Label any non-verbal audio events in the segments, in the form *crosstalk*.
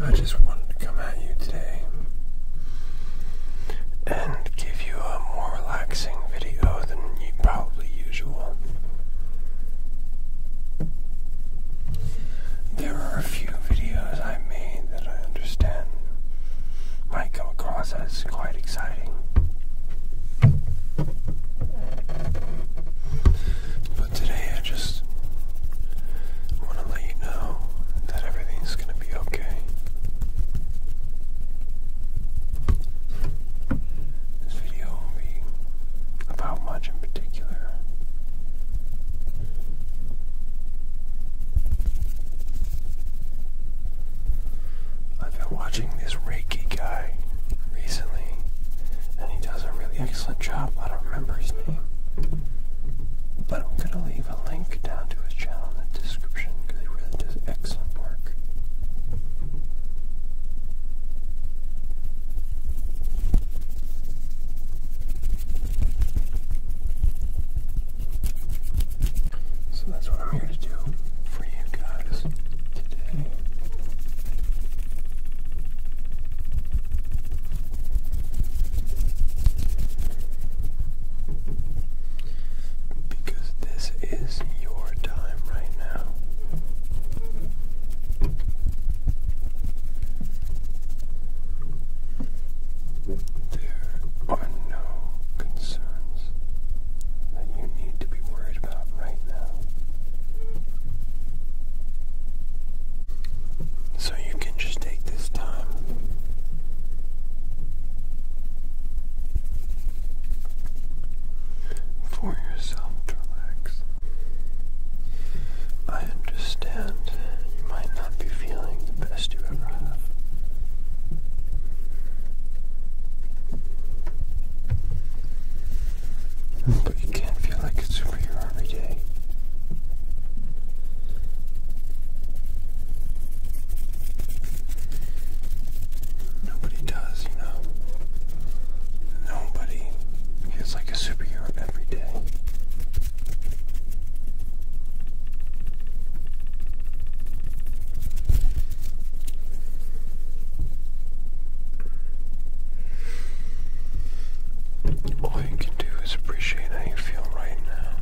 I just wanted to come at you today and give you a more relaxing video than you probably usual. There are a few videos I made that I understand might come across as quite exciting. But today I just want to let you know that everything's going to be okay. This video won't be about much in particular. I've been watching this guy recently, and he does a really excellent job. I don't remember his name, but I'm gonna leave a link down to his channel in the description because he really does excellent work. So that's what I'm here to do for you guys today. Because this is your time right now. There are no concerns that you need to be worried so you can just take this time for yourself relax. I understand you might not be feeling the best you ever have. But you can't feel like a superhero every day. Nobody does, you know. Nobody feels like a superhero every day. All you can do is appreciate how you feel right now.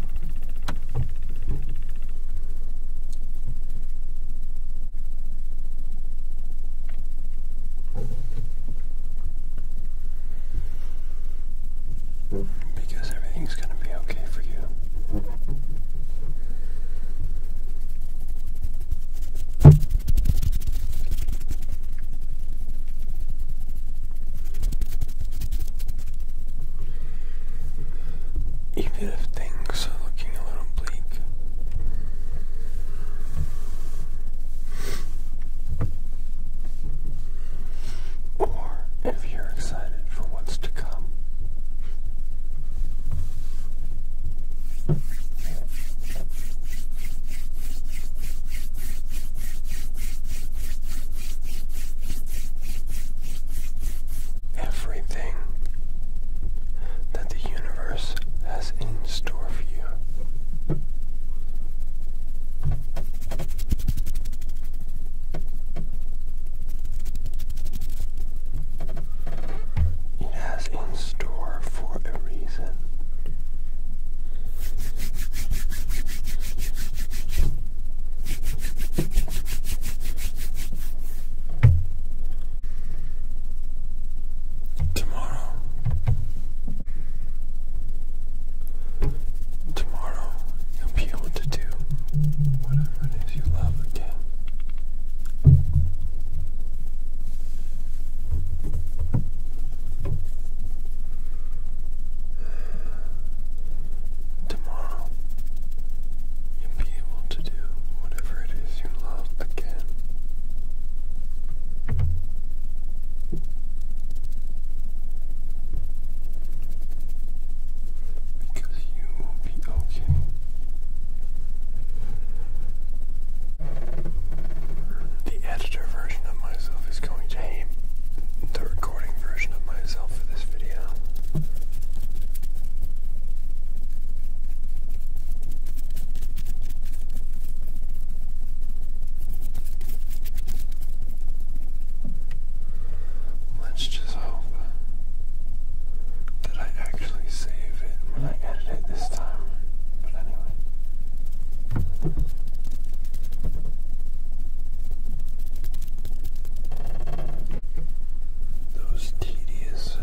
Because everything's going to be okay for you. Even if things are looking a little bleak. Or if you're excited for what's to come. Everything that the universe has in store for you. It has in store for a reason. Tomorrow. Tomorrow you'll be able to do whatever it is you love again. Tomorrow, you'll be able to do whatever it is you love again. Because you will be okay. The editor version of myself is going to hate the recording version of myself for this video. Let's just hope that I actually save it when I edit it this time. But anyway. Those tedious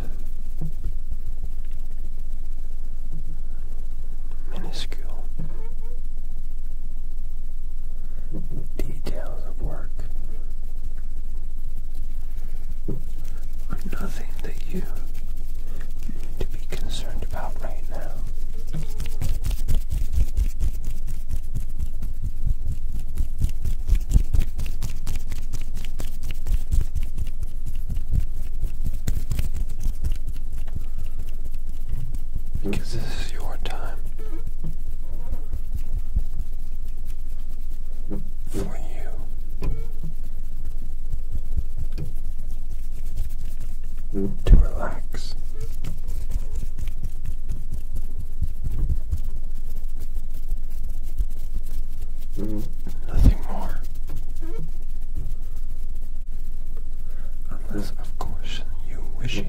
minuscule details of work nothing that you need to be concerned about right now. Because this is your time for you to relax. Nothing more. Unless, of course, you wish it.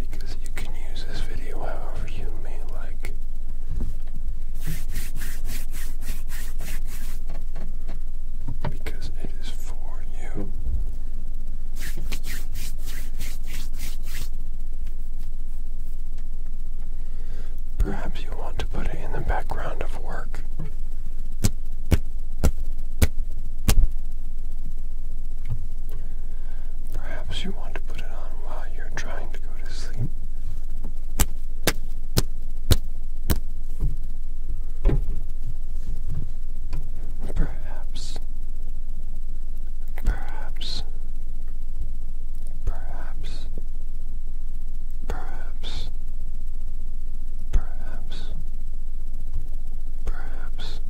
Because you can use this video however you may like. Because it is for you. Perhaps you want to put it in the background of work. Perhaps you want to put it on while you're trying to go to sleep. Perhaps, perhaps, perhaps, perhaps, perhaps, perhaps. Perhaps.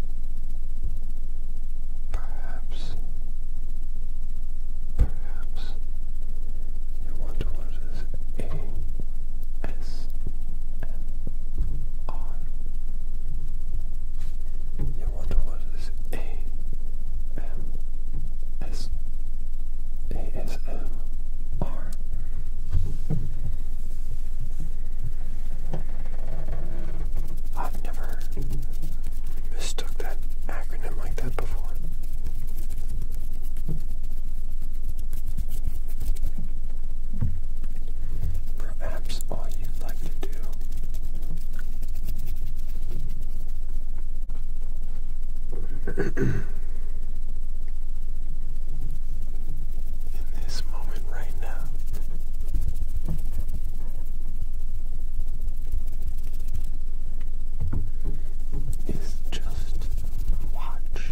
Perhaps. Perhaps you wonder what is A S M R. You wonder what is A M S A S M R. I've never mistook that acronym like that before. Perhaps all you'd like to do *clears throat* in this moment moment right now. Is just watch.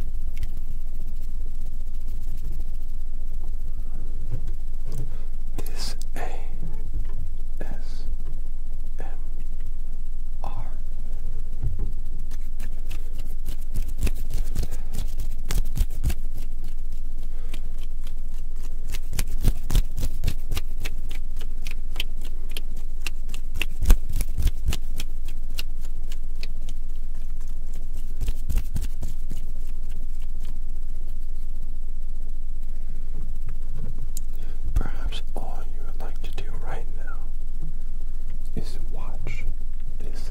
This A S M R Perhaps all you would like to do right now is watch this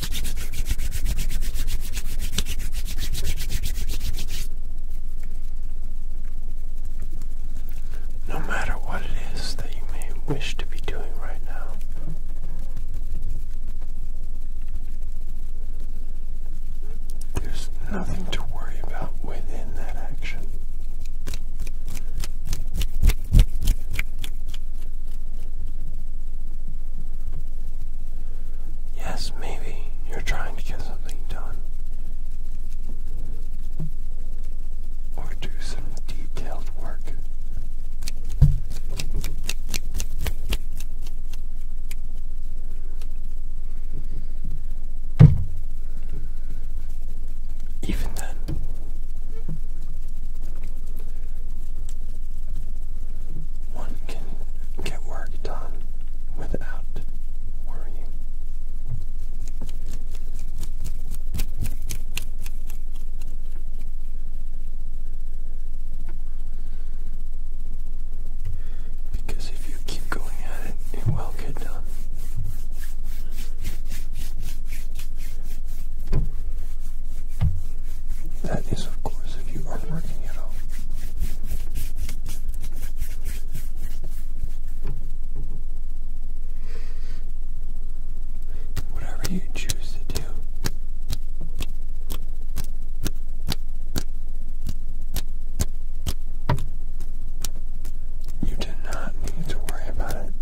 No matter what it is that you may wish to be doing right now, there's nothing to worry about within that action. Yes, maybe you're trying to get something done. Or do some detailed work. Even then, one can get work done without worrying. Because if you keep going at it, it will get done. That is, of course, if you are working at all. Whatever you choose to do. You do not need to worry about it.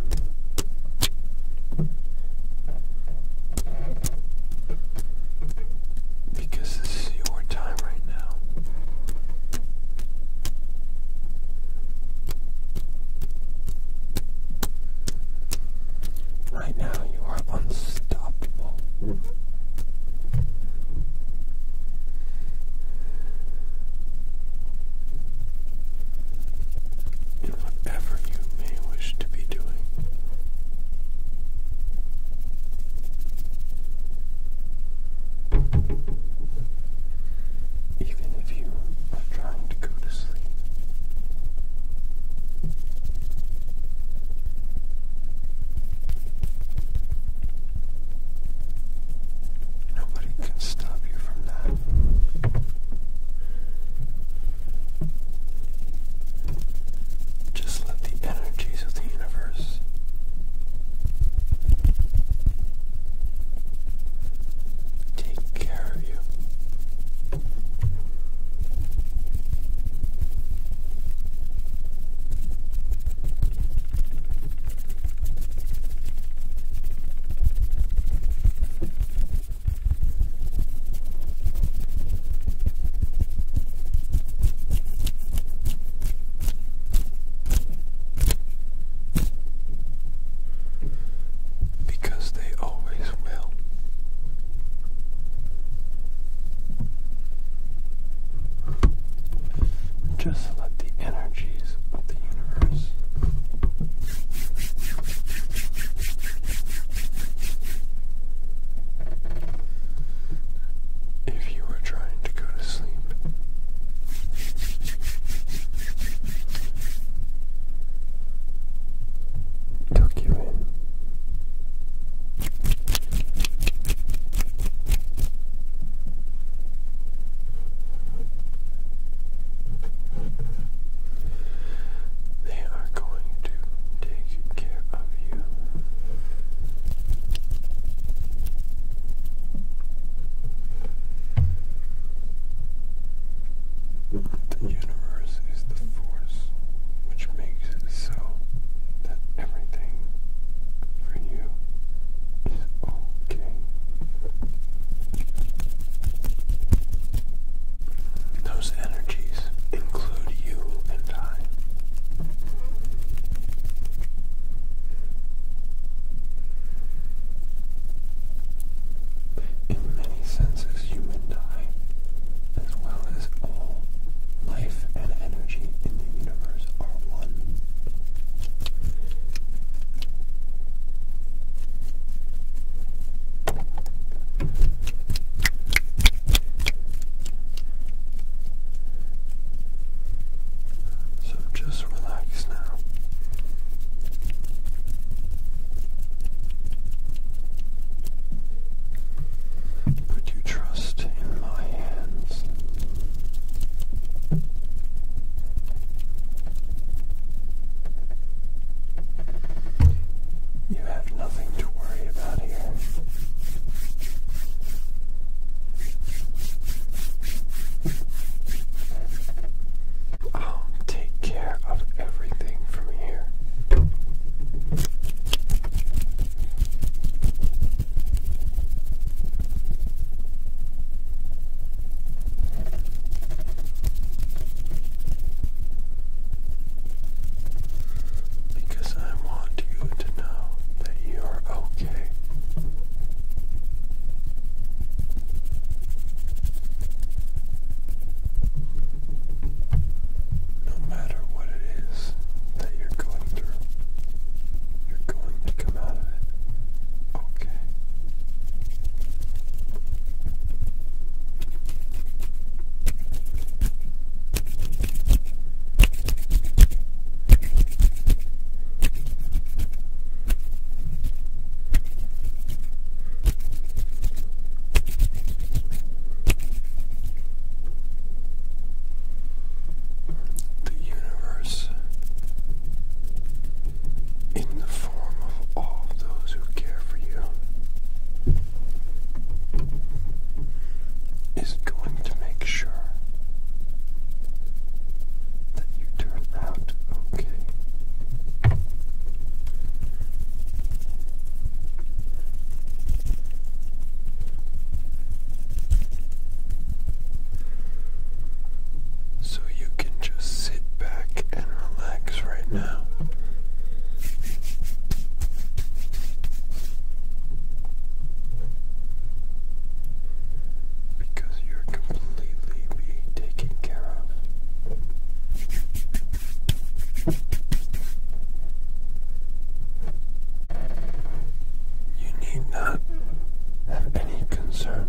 Because this is your time right now. Right now, you are unstoppable. Mm. whatever you may wish to be doing, even if you are trying to go to sleep. Nobody can stop you from that. Just let the energies of the universe take care of you. Because they always will. Just let the energies of the universe if you are trying to go to sleep, tuck you in. They are going to take take care of you. The universe is the force which makes it so that everything for you is okay. Those energies include you and I. In many senses, you and I, as well as all life and energy in the universe, are one. So just relax now. Put your trust in my hands. You nothing to worry about here. I'll take care of everything from here. Because I want you to know that you are okay. No matter what it is that you're going through, you're going to come out of it okay. The universe, in the form of all those who care for you, is going to make sure that you turn out okay. So you can just sit back and relax right now. Because you're completely being taken care of. You need not have any concern.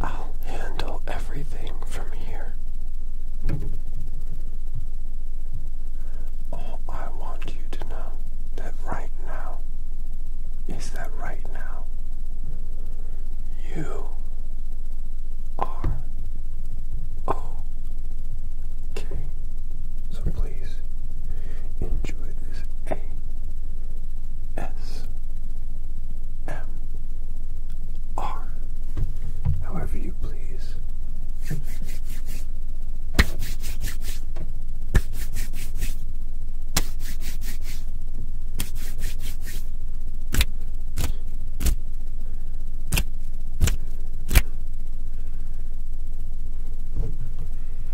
I'll handle everything from here. All I want you to know that right now is that right now you are okay. So enjoy this ASMR, however you please.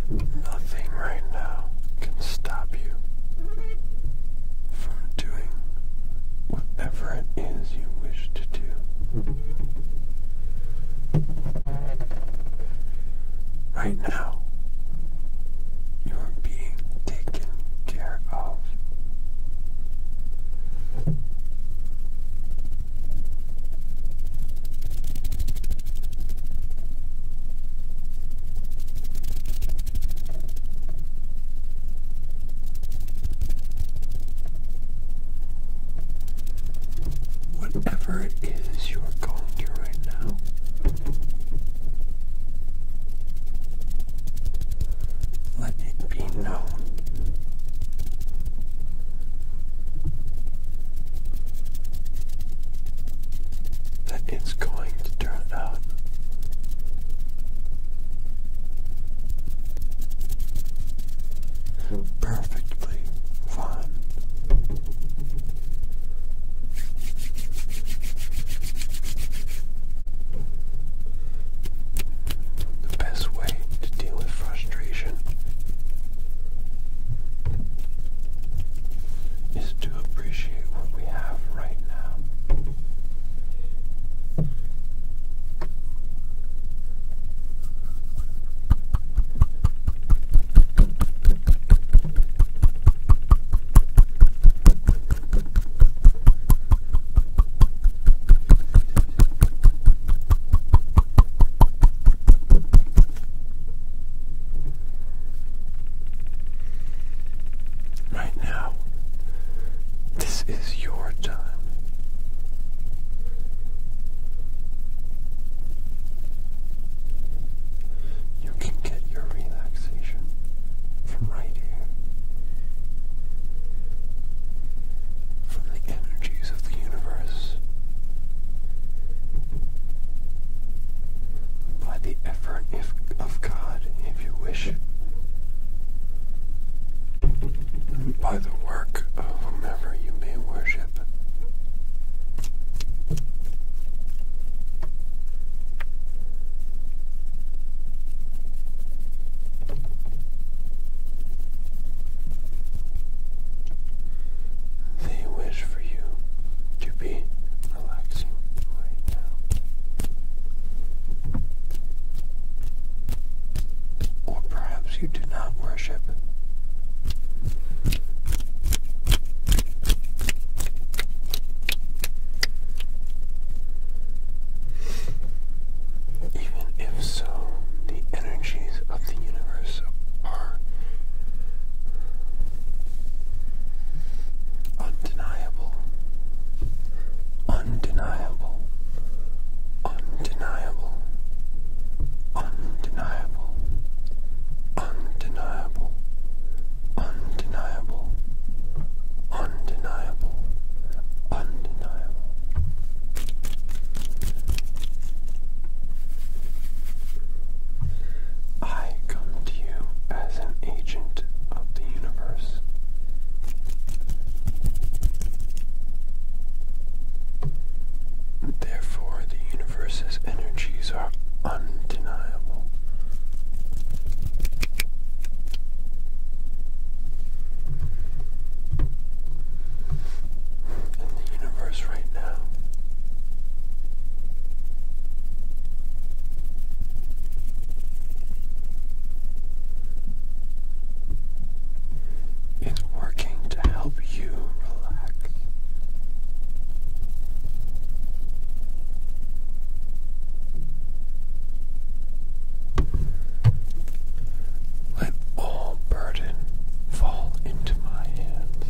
Nothing right now can stop you from doing whatever it is you wish to do. Right now, you are being taken care of. Whatever it is you're going through right now, let it be known that it's going to turn out perfectly fine. The best way to deal with frustration is to appreciate what we have right now. Right now, this is your time. You can get your relaxation from right here, from the energies of the universe. By the effort of God, if you wish, by the work of whomever you may worship. They wish for you to be relaxing right now. Or perhaps you do not worship. Even if so, the energies of the universe are undeniable, undeniable, undeniable, undeniable, undeniable, undeniable, undeniable, I come to you as an agent of the universe. Therefore, the universe's energies are undeniable in the universe right now. It's working to help you relax. Let all burden fall into my hands.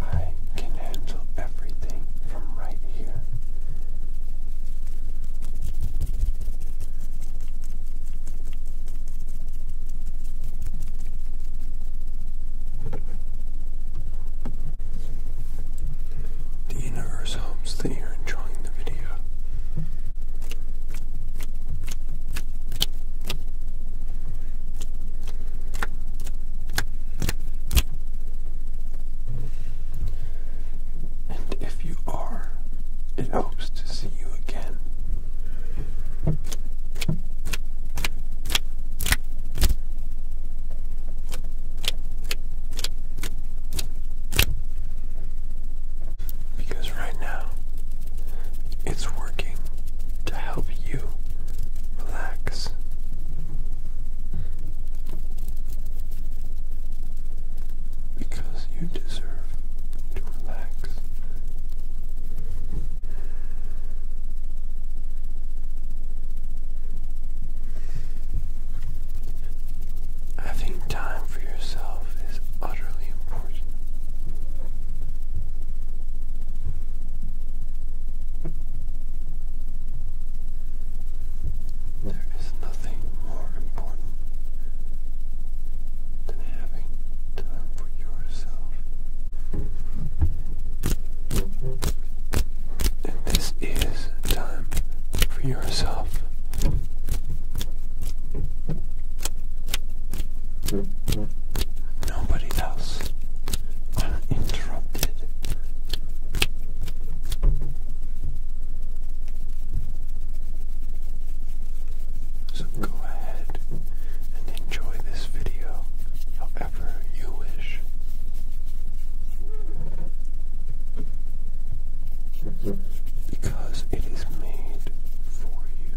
I can handle everything from right here. The universe hopes that you're enjoying the video. And if you are, it hopes to see you again. Because right now, it's working to help you relax. Because you deserve to relax. Having time for yourself is utterly important. There is nothing more important than having time for yourself. And this is time for yourself. Nobody else. Uninterrupted. So go ahead and enjoy this video however you wish. Because it is made for you.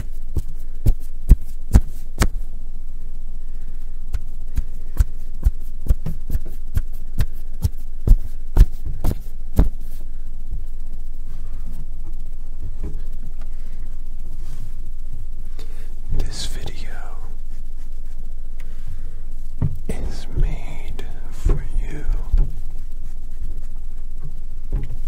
This video is made for you.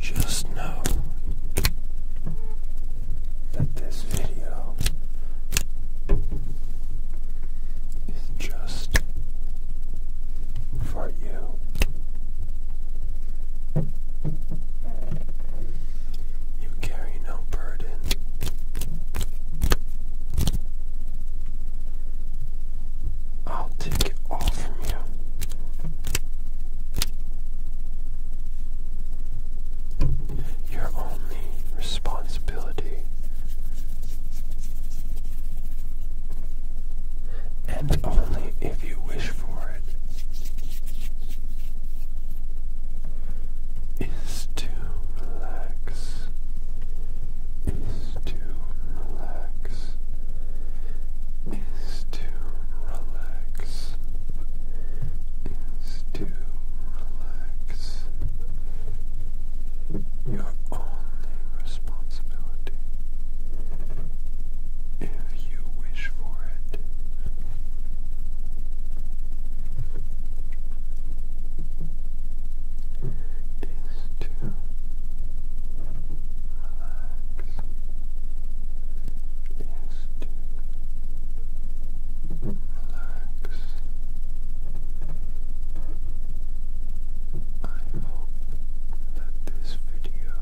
Just know that this video is just for you. You carry no burden. I'll take it all from you. Your only responsibility and only if you wish for it is to relax to relax, is to relax, is to relax. Your only responsibility, if you wish for it. Is to relax is relax. I hope that this video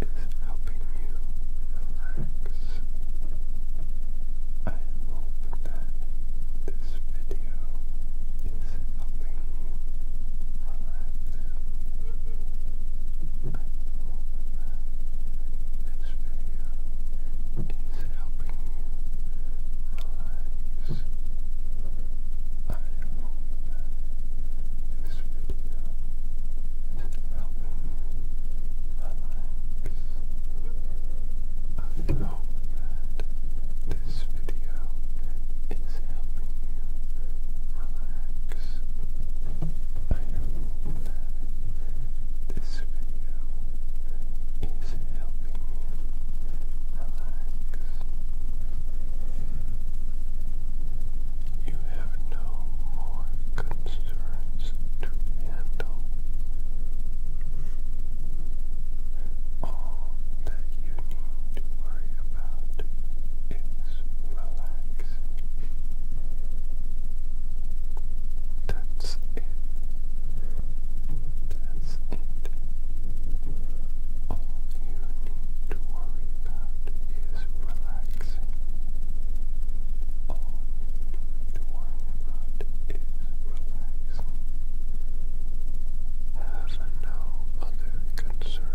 is helping you relax. I hope that this video is helping you relax. This video is helping you relax. I hope that this video is helping you relax. I hope that this video is helping you relax. I hope that this video is helping you relax. You have no more concerns to handle. All that you need to worry about is relaxing. That's it. That's it. All you need to worry about is relaxing. All you need to worry about is relaxing. Have no other concerns discern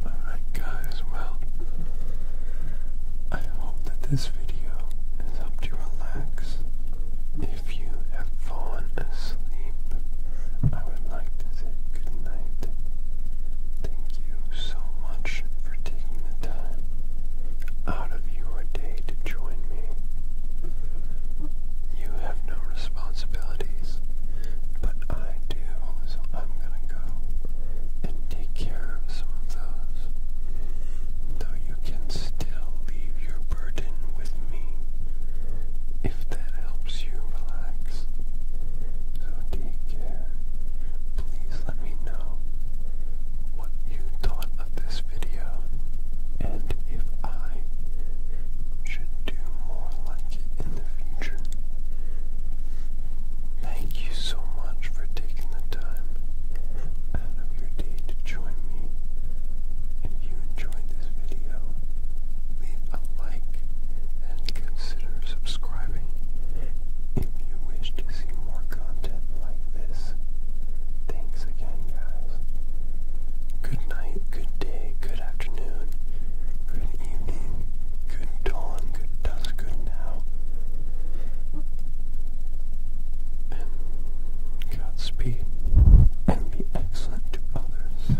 Alright, guys, well, I hope that this video has helped you relax. If you have fallen asleep, I would like to say good Thank you so much for taking the time out of your day to join me. You have no responsibilities, but I do, so I'm gonna go and take care of some of those. Though you can still leave your burden with me if that helps you relax. So take care. Please let me know what you thought of this video and if I should do more like it in the future. Thank you so much for taking the time out of your day to join me. If you enjoyed this video, leave a like and consider subscribing if you wish to see more content like this. Thanks again, guys. Good night, good day, good afternoon, good evening, good dawn, good dusk, good now. And Godspeed, and be excellent to others.